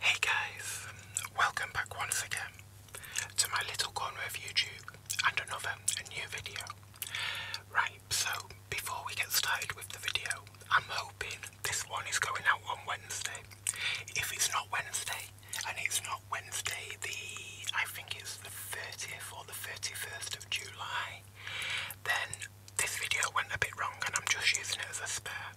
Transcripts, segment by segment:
Hey guys, welcome back once again to my little corner of YouTube and another new video. Right, so before we get started with the video, I'm hoping this one is going out on Wednesday. If it's not Wednesday, and it's not Wednesday the I think it's the 30th or the 31st of July then this video went a bit wrong and I'm just using it as a spare.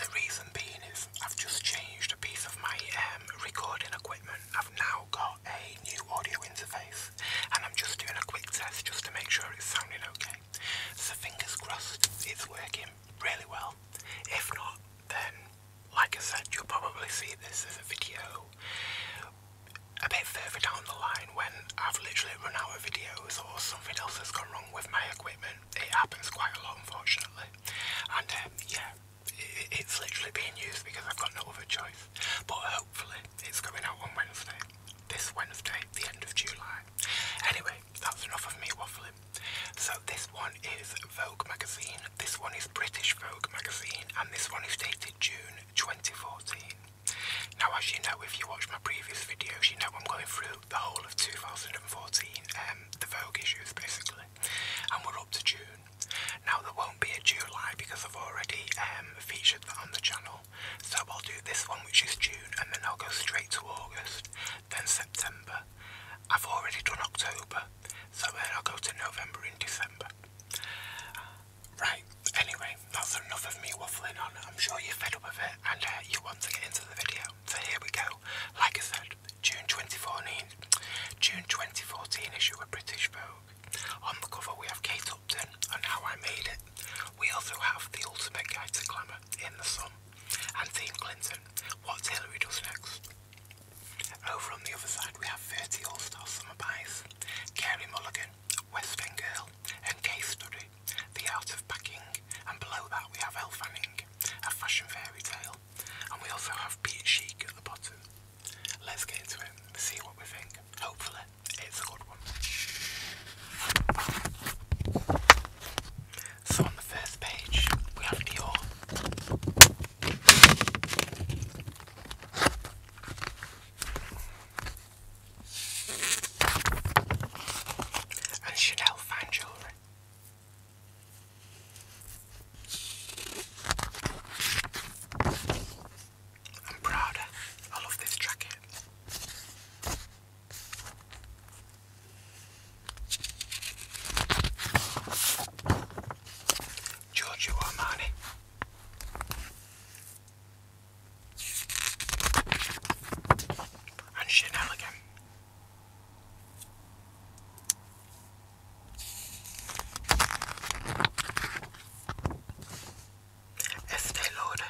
The reason being is I've just changed a piece of my um, recording equipment. I've now got a new audio interface and I'm just doing a quick test just to make sure it's sounding okay. So fingers crossed it's working really well. If not, then like I said, you'll probably see this as a video a bit further down the line when I've literally run out of videos or something else has gone wrong with my equipment. It happens quite a lot unfortunately. And um, yeah, it's literally being used because I've got no other choice. But hopefully it's coming out on Wednesday. This Wednesday, the end of July. Anyway, that's enough of me waffling. So this one is Vogue magazine, this one is British Vogue magazine and this one is dated June 2014. Now, as you know, if you watch my previous videos, you know I'm going through the whole of 2014, and um, the Vogue issues basically, and we're up to June. Now, there won't be a July because I've already um, featured that on the channel, so I'll do this one, which is June, and then I'll go straight to August, then September. I've already done October, so then I'll go to November and December. Right, anyway, that's enough of me waffling on. I'm sure you're fed up with it and uh, you want to get into the video. So here we go. Like I said, June 2014, June 2014 issue of British Vogue. On the cover we have Kate Upton and How I Made It. We also have The Ultimate Guide to Glamour in the Sun and Team Clinton, What Hillary Does Next. Over on the other side we have 30 All-Star Summer Buys, Kerry Mulligan, Western Girl, and Case Study, The Art of Packing, and below that we have Elle Fanning, A Fashion Fairy Tale, and we also have Peter Chic at the bottom. Let's get into it, see what we think. Hopefully, it's a good one. So on the first page, we have Dior and Chanel fine jewellery. I'm proud. I love this jacket. Giorgio Armani and Shenanigan. Estee Lauder,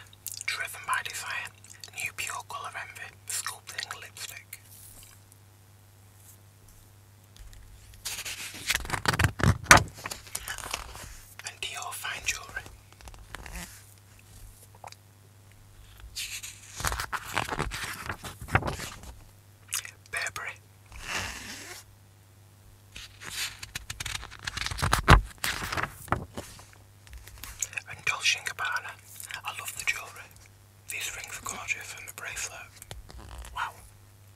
driven by desire, new pure colour envy, sculpting lipstick and Dior fine jewelry. Burberry. And Dolce & Gabbana. I love the jewellery. These rings are gorgeous and the bracelet. Wow.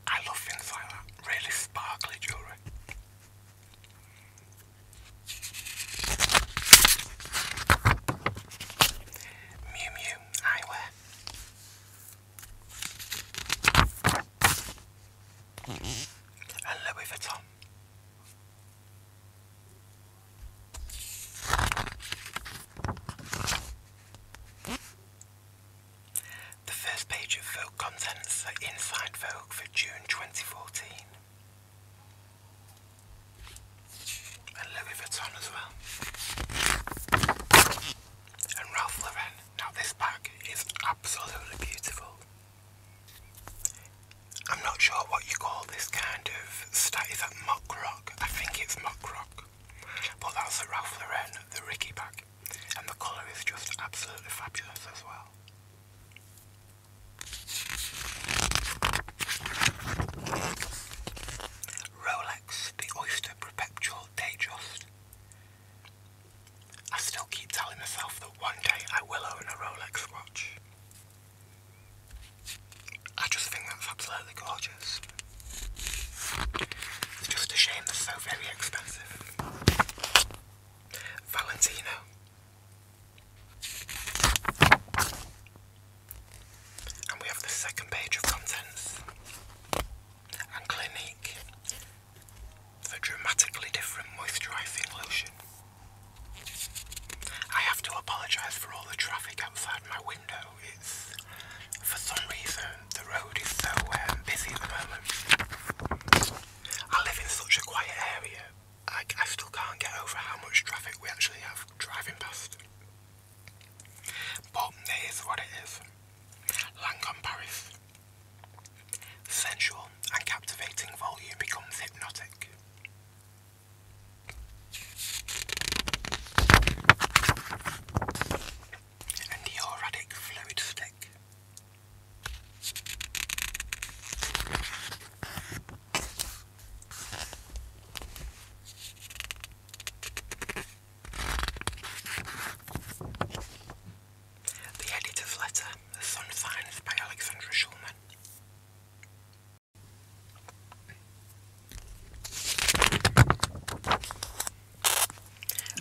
I love things like Really sparkly jewellery. Mew Mew eyewear. Mm mm-hmm. And Louis Vuitton. The first page of Vogue contents the Inside Vogue for June 2014. And Louis Vuitton as well. And Ralph Lauren. Now this bag is absolutely beautiful. I'm not sure what you call this kind of stat. Is that mock rock? I think it's mock rock. But that's the Ralph Lauren, the Ricky bag and the colour is just absolutely fabulous as well. Rolex The Oyster Perpetual Datejust. I still keep telling myself that one day I will own a Rolex watch. I just think that's absolutely gorgeous. It's just a shame they're so very expensive. Valentino. And we have the second page of contents and Clinique, the dramatically different moisturising lotion. I have to apologise for all the traffic outside my window. It's for some reason the road is so um, busy I live in such a quiet area. I, still can't get over how much traffic we actually have driving past. But it is what it is. Lancome Paris. Sensual and captivating volume becomes hypnotic. And the auric fluid stick. The Editor's Letter, The Sun Signs by Alexandra Schulman.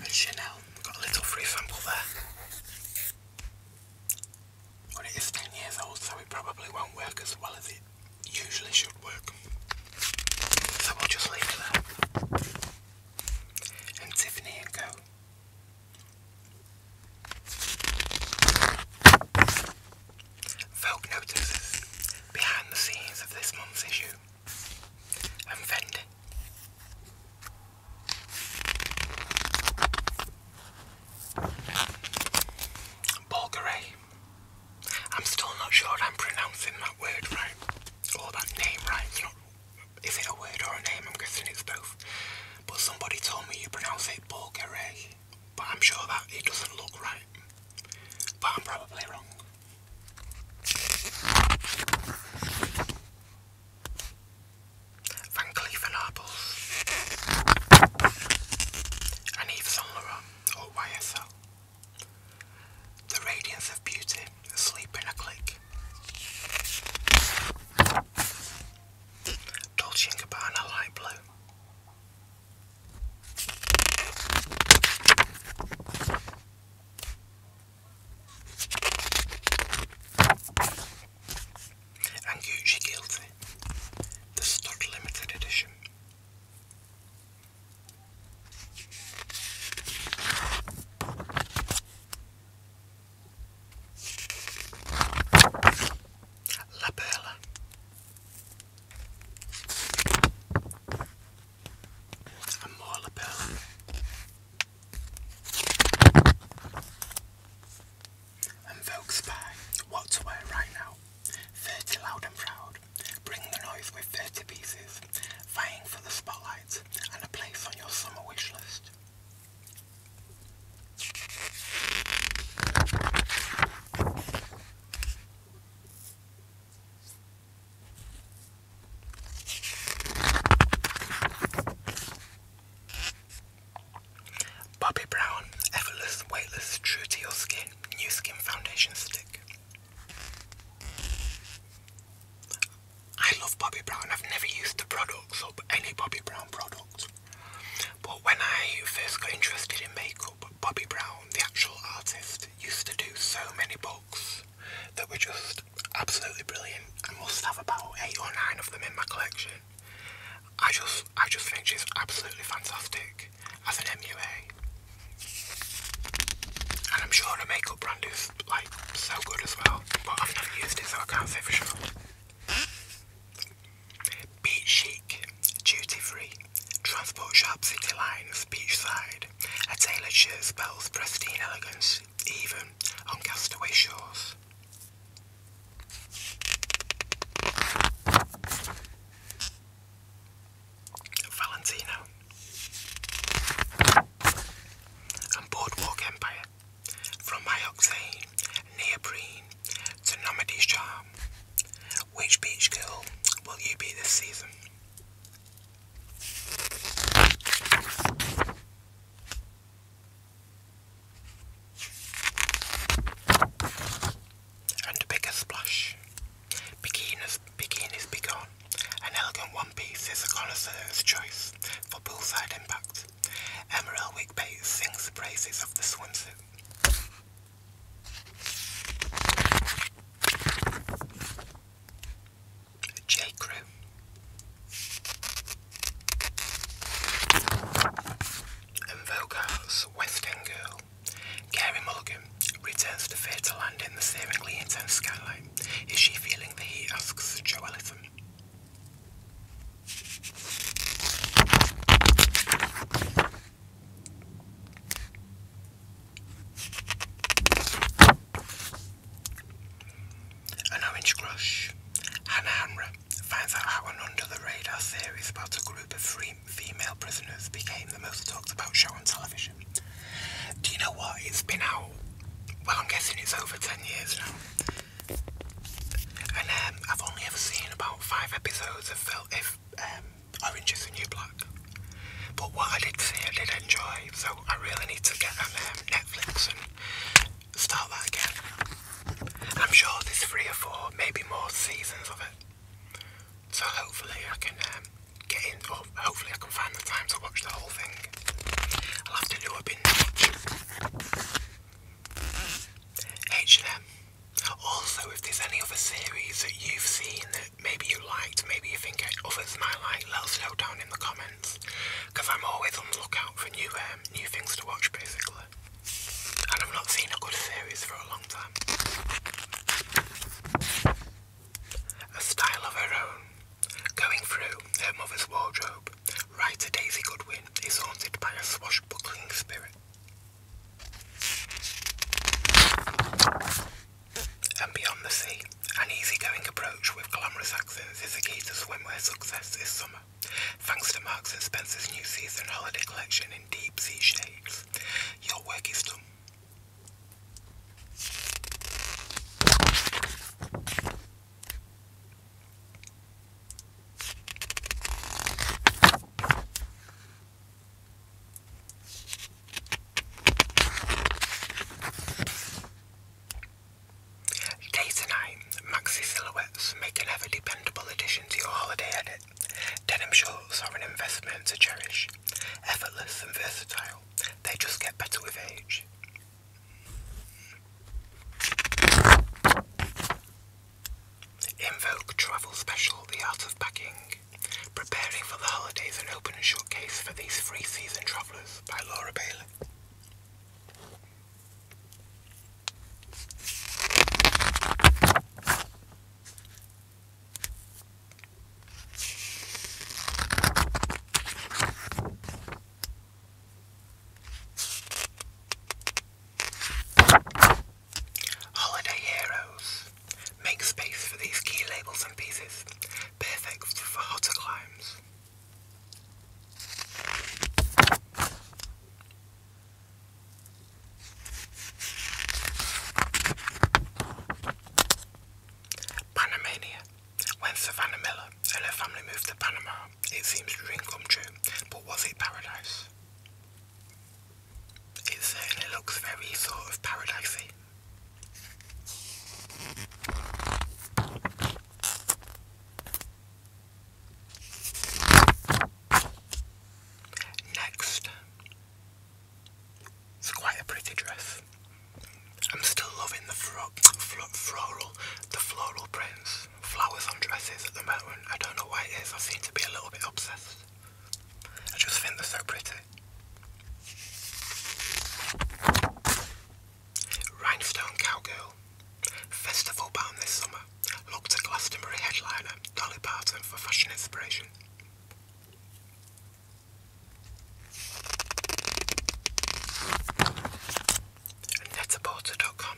Chanel, got a little free sample there. When it is 10 years old, so it probably won't work as well as it usually should work. So we'll just leave it And Tiffany and Co. Vogue notices behind the scenes of this month's issue. And Fendi. Bulgari. I'm still not sure I'm pronouncing that word right, or that name right. is it a word or a name? I'm guessing it's both. But somebody told me you pronounce it Bulgari, but I'm sure that it doesn't look right. But I'm probably wrong. Van Cleef & Arpels and Yves Saint YSL. The Radiance of Beauty, Sleep in a Click. Dolce & Gabbana Light Blue. And Gucci Guilty, the Stud Limited Edition. La Perla. And more La Perla. And folks by what to wear right now. 30 loud and proud. Bring the noise with 30 pieces. Vying for the spotlight and a place on your summer wish list. Bobby Brown Effortless Weightless True to Your Skin New Skin Foundation Stick. I love Bobby Brown. I've never used the products or any Bobby Brown products, But when I first got interested in makeup, Bobby Brown, the actual artist, used to do so many books that were just absolutely brilliant. I must have about eight or nine of them in my collection. I just, I just think she's absolutely fantastic as an MUA, and I'm sure her makeup brand is like so good as well. But I've never used it, so I can't say for sure. Beach chic, duty free, transport shop, city lines, beachside. A tailored shirt spells pristine elegance even on castaway shores. Valentino and Boardwalk Empire from Myoxane, Neoprene to Nomady's Charm. Which beach girl will you be this season? and a bigger splash. Bikinis, bikinis be gone. An elegant one piece is a connoisseur's choice for poolside impact. Emma Elwick Bates sings the praises of the swimsuit. J. Crew. And Vogart's West End Girl. Carrie Mulligan returns to to Land in the seemingly intense skyline. Is she feeling the heat? asks Joe Ellison. An Orange Crush. Hannah Hamra finds out how an under-the-radar series about a group of free female prisoners became the most talked about show on television. Do you know what? It's been out, well, I'm guessing it's over 10 years now. And um, I've only ever seen about five episodes of if, um, Orange is the New Black. But what I did see, I did enjoy, so I really need to get on um, Netflix start that again. I'm sure there's three or four, maybe more seasons of it. So hopefully I can um, get in, or hopefully I can find the time to watch the whole thing. I'll have to do a binge H&M. Also, if there's any other series that you've seen that maybe you liked, maybe you think others might like, let us know down in the comments because I'm always on the lookout for new um, new things to watch basically. And I've not seen a good series for a long time. A style of her own. Going through her mother's wardrobe, writer Daisy Goodwin is haunted by a swashbuckling spirit. And beyond the sea, an easygoing approach with glamorous accents is the key to swimwear success this summer. Thanks to Marks & Spencer's new season holiday collection in deep sea shades, your work is done. Day to night, maxi silhouettes make an ever dependable addition to your holiday edit. Denim shorts are an investment to cherish. Effortless and versatile, they just get better with age. Invoke Travel Special The Art of Packing. Preparing for the holidays and open a for these free season travellers by Laura Bailey. Holiday Heroes. Make space for these key labels and pieces, perfect for hotter climes. Panamania. When Savannah Miller and her family moved to Panama, it seems to dream come true, but was it paradise? It certainly looks very sort of paradisey. Next, it's quite a pretty dress. I'm still loving the floral, the floral prints, flowers on dresses at the moment. I don't know why it is. I seem to be a little bit obsessed. I just think they so pretty. Rhinestone cowgirl. Festival bound this summer, look to Glastonbury headliner Dolly Parton for fashion inspiration. Netaporter.com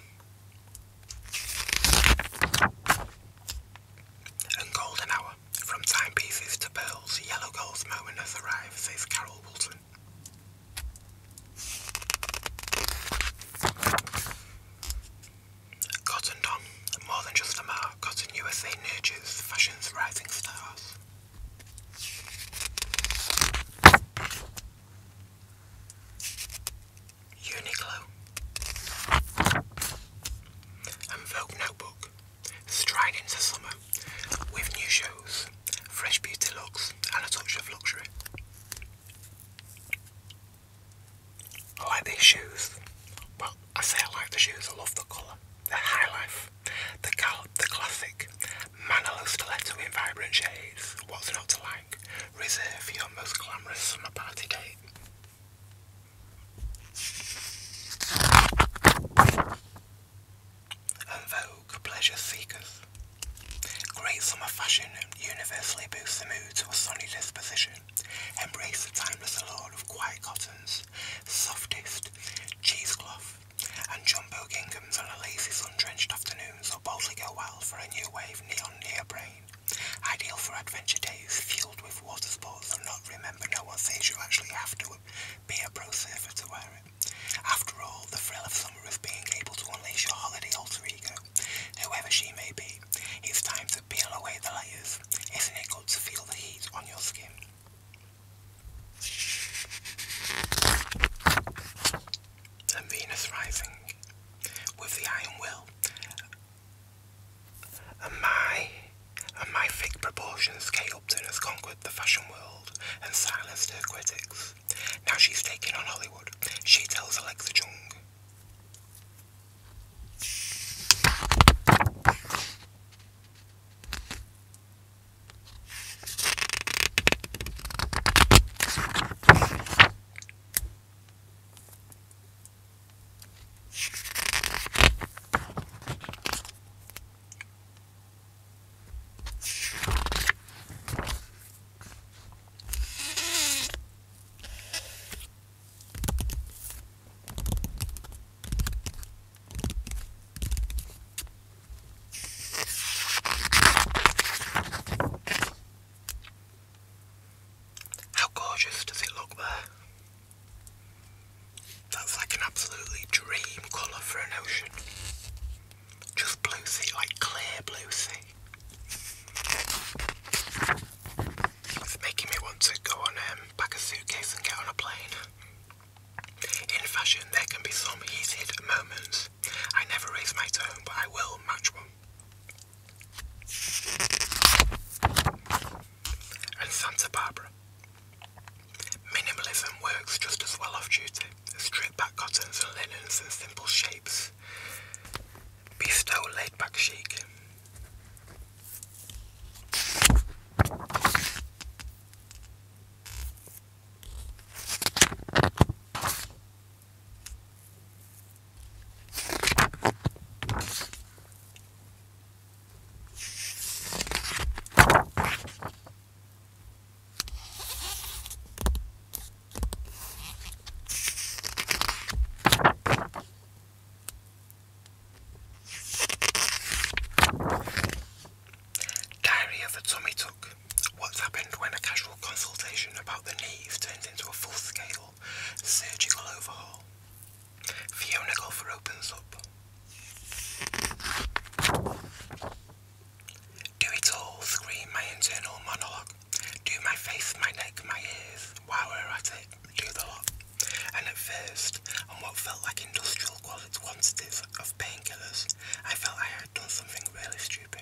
And Golden Hour, from timepieces to pearls, yellow gold's moment has says Carol Walton. Cotton Don, more than just a mark, Cotton USA nurtures fashion's rising stars. Uniqlo and Notebook stride into summer with new shows, fresh beauty looks, and a touch of luxury. I like these shoes. Well, I say I like the shoes. I love the color The high life. The gallop, the classic. Manolo stiletto in vibrant shades. What's not to like? Reserve for your most glamorous summer party date. And Vogue pleasure seekers. Great summer fashion universally boosts the mood to a sunny disposition. Embrace the timeless allure of quiet cottons, softest cheesecloth, and jumbo ginghams on a lazy sun-drenched afternoon so boldly go wild for a new wave neon neoprene. Ideal for adventure days fueled with water sports and not remember no one says you actually have to be a pro surfer to wear it. After all, the thrill of summer is being able to unleash your holiday alter ego whoever she may be, it's time to peel away the layers. Isn't it good to feel the heat on your skin? And Venus rising with the iron will. And my and my thick proportion scale Upton conquered the fashion world and silenced her critics. Now she's taking on Hollywood. She tells Alexa Jung. How gorgeous does it look there? That's like an absolutely dream colour for an ocean. Just blue like clear blue sea. It's making me want to go on um, pack a suitcase and get on a plane. In fashion, there can be some heated moments. I never raise my tone, but I will match one. And Santa Barbara. Minimalism works just as well off duty. Strip back cottons and linens and simple shapes this bistro laid back Sheikh. Diary of a Tummy Tuck. What's happened when a casual consultation about the knee turns into a full scale surgical overhaul? Fiona Golfer opens up. Do it all, scream my internal monologue. Do my face, my neck, my ears. While we're at it, do the lot. And at first, on what felt like industrial quantities of painkillers, I felt I had done something really stupid.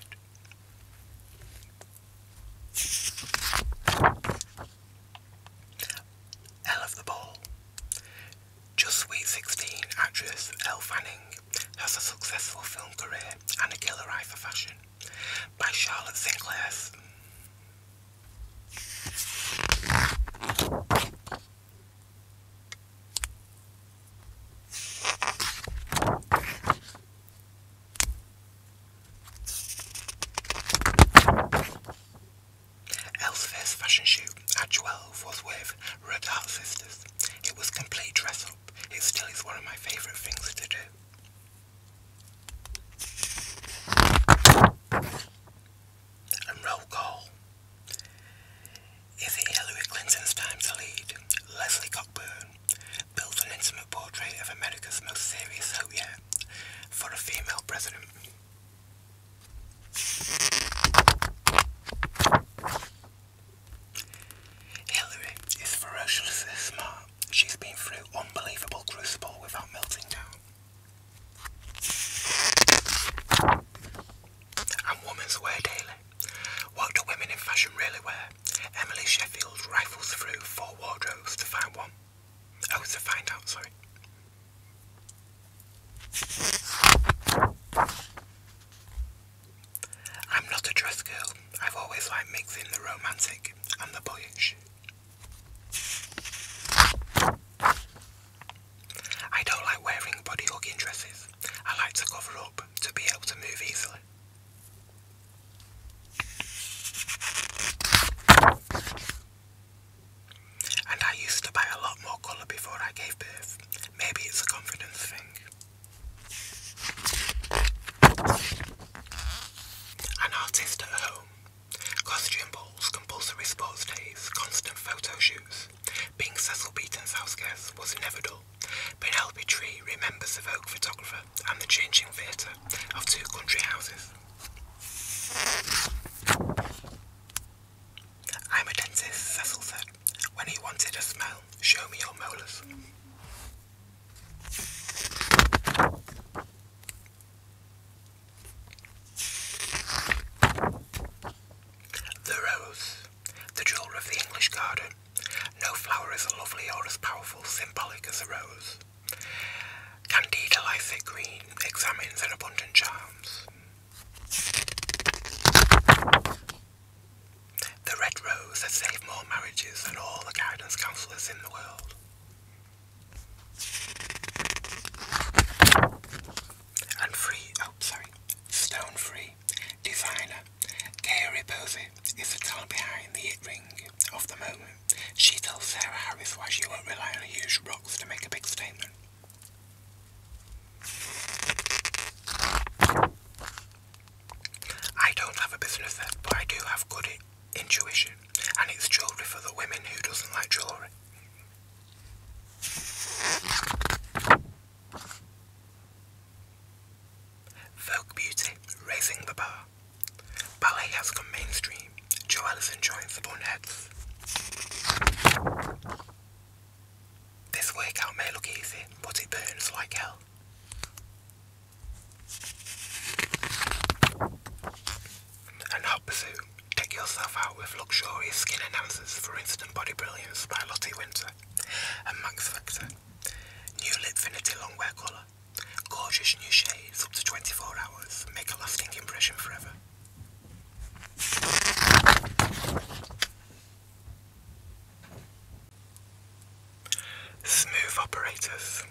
Elle of the Ball. Just Sweet 16 actress Elle Fanning has a successful film career and a killer eye for fashion by Charlotte Sinclair. Elle's fashion shoot at 12 was with Red Sisters. It was complete dress up. It still is one of my favourite things to do. And roll call. Is it Hillary Clinton's time to lead? Leslie Cockburn builds an intimate portrait of America's most serious hope yet for a female president. Hillary is ferociously smart she's been through unbelievable crucible without melting down. And women's wear daily. What do women in fashion really wear? Emily Sheffield rifles through four wardrobes to find one. Oh, to find out, sorry. I'm not a dress girl. I've always liked mixing the romantic and the boyish. I don't like wearing body hugging dresses. I like to cover up to be able to move easily. And I used to buy a lot more colour before I gave birth. Maybe it's a confidence thing. An artist at home. Costume balls, compulsory sports days, constant photo shoots. Being Cecil Beaton's house guest was never Penelope Tree remembers the Vogue photographer and the changing theatre of two country houses. I'm a dentist, Cecil said. When he wanted a smell, show me your molars. The rose, the jewel of the English garden. No flower is as lovely or as powerful, symbolic as a rose. Candida Lycic green examines and abundant charms. The Red Rose has saved more marriages than all the guidance counsellors in the world. And free, oh sorry, stone free, designer, Gary Posey is the talent behind the ring of the moment. She tells Sarah Harris why she won't rely on huge rocks to make a big statement. I don't have a business sense, but I do have good intuition, and it's jewellery for the women who doesn't like jewellery. Vogue Beauty, raising the bar. Ballet has come mainstream. Jo Ellison joins the Bunheads. This workout may look easy, but it burns like hell. And Hot Pursuit. Take yourself out with luxurious skin enhancers for instant body brilliance by Lottie Winter and Max New Lipfinity Longwear Colour. Gorgeous new shades up to 24 hours. Make a lasting impression forever. Smooth operators.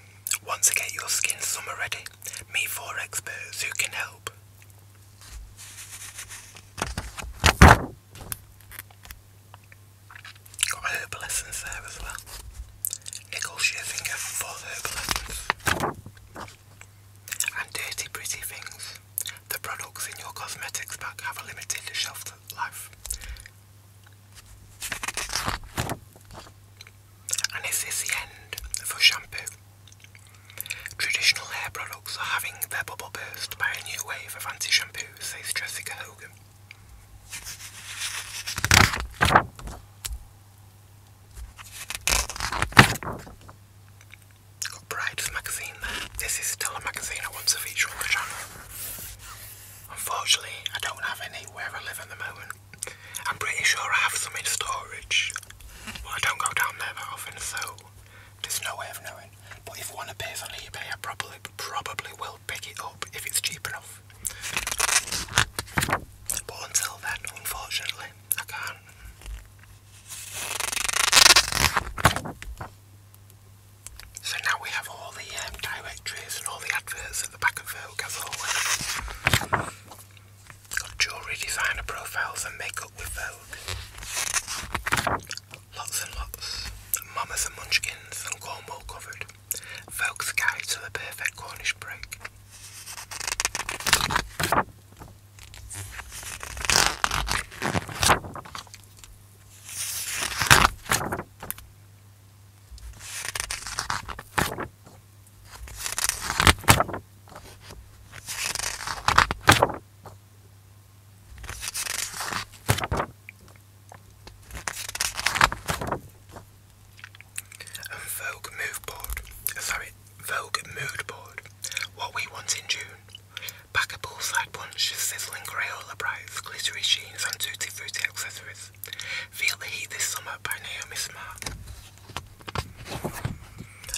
Want to get your skin summer ready? Meet four experts who can help. Got herb there as well. Nicole Scherzinger for herb And dirty pretty things. The products in your cosmetics bag have a limited shelf life. And is this the end for shampoo? Traditional hair products are having their bubble burst by a new wave of anti shampoos, says Jessica Hogan. Got magazine there. This is still a magazine I want to feature on the channel. Unfortunately, I don't have any where I live at the moment. I'm pretty sure I have some in storage. but I don't go down there that often, so there's no way of knowing. But if one appears on eBay, I probably probably will pick it up if it's cheap enough. But until then, unfortunately, I can't. So now we have all the um, directories and all the adverts Got jewellery designer profiles and makeup with Vogue. Lots and lots. Mamas and munchkins and Cornwall covered. Vogue's guide to the perfect Cornish break. Vogue Move Board, sorry, Vogue Mood Board, What We Want in June, pack a bullseye punch, sizzling Crayola brights, glittery sheens and tutti frutti accessories. Texas. Feel the heat this summer by Naomi Smart.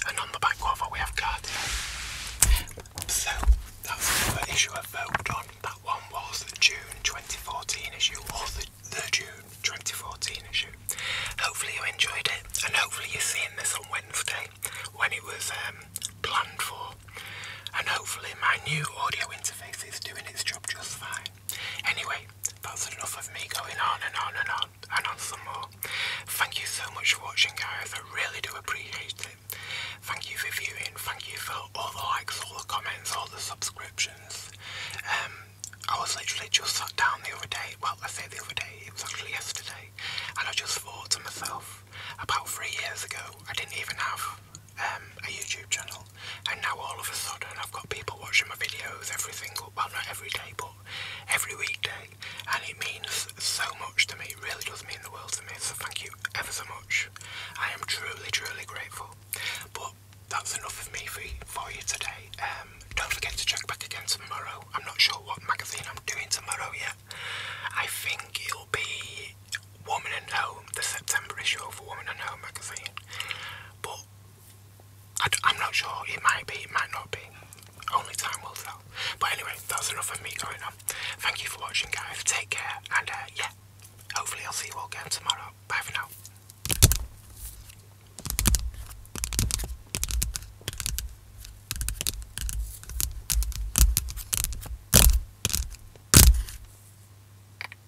And on the back cover we have Guardian. So that's the issue I voted on. That one was the June 2014 issue or the, the June 2014 issue. Hopefully you enjoyed it and hopefully you're seeing this on Wednesday when it was um, planned for. And hopefully my new audio interface is doing its job just fine. Anyway, that's enough of me going on and on and on and on some more. Thank you so much for watching guys, I really do appreciate it. Thank you for viewing, thank you for all the likes, all the comments, all the subscriptions. Um, I was literally just sat down the other day, well I say the other day, it was actually yesterday, and I just thought to myself, about three years ago I didn't even have um, a YouTube channel, and now all of a sudden I've got people watching my videos every well not every day, but every weekday, and it means so much to me, really does mean the world to me, so thank you ever so much. I am truly, truly grateful, but that's enough of me for, for you today. Um, don't forget to check back again tomorrow, I'm not sure what magazine I'm doing tomorrow yet. I think it'll be Woman and Home, the September issue of Woman and Home magazine but I d I'm not sure. It might be, it might not be. Only time will tell. But anyway, that's enough of me going on. Thank you for watching, guys. Take care, and uh, yeah, hopefully I'll see you all again tomorrow. Bye for now.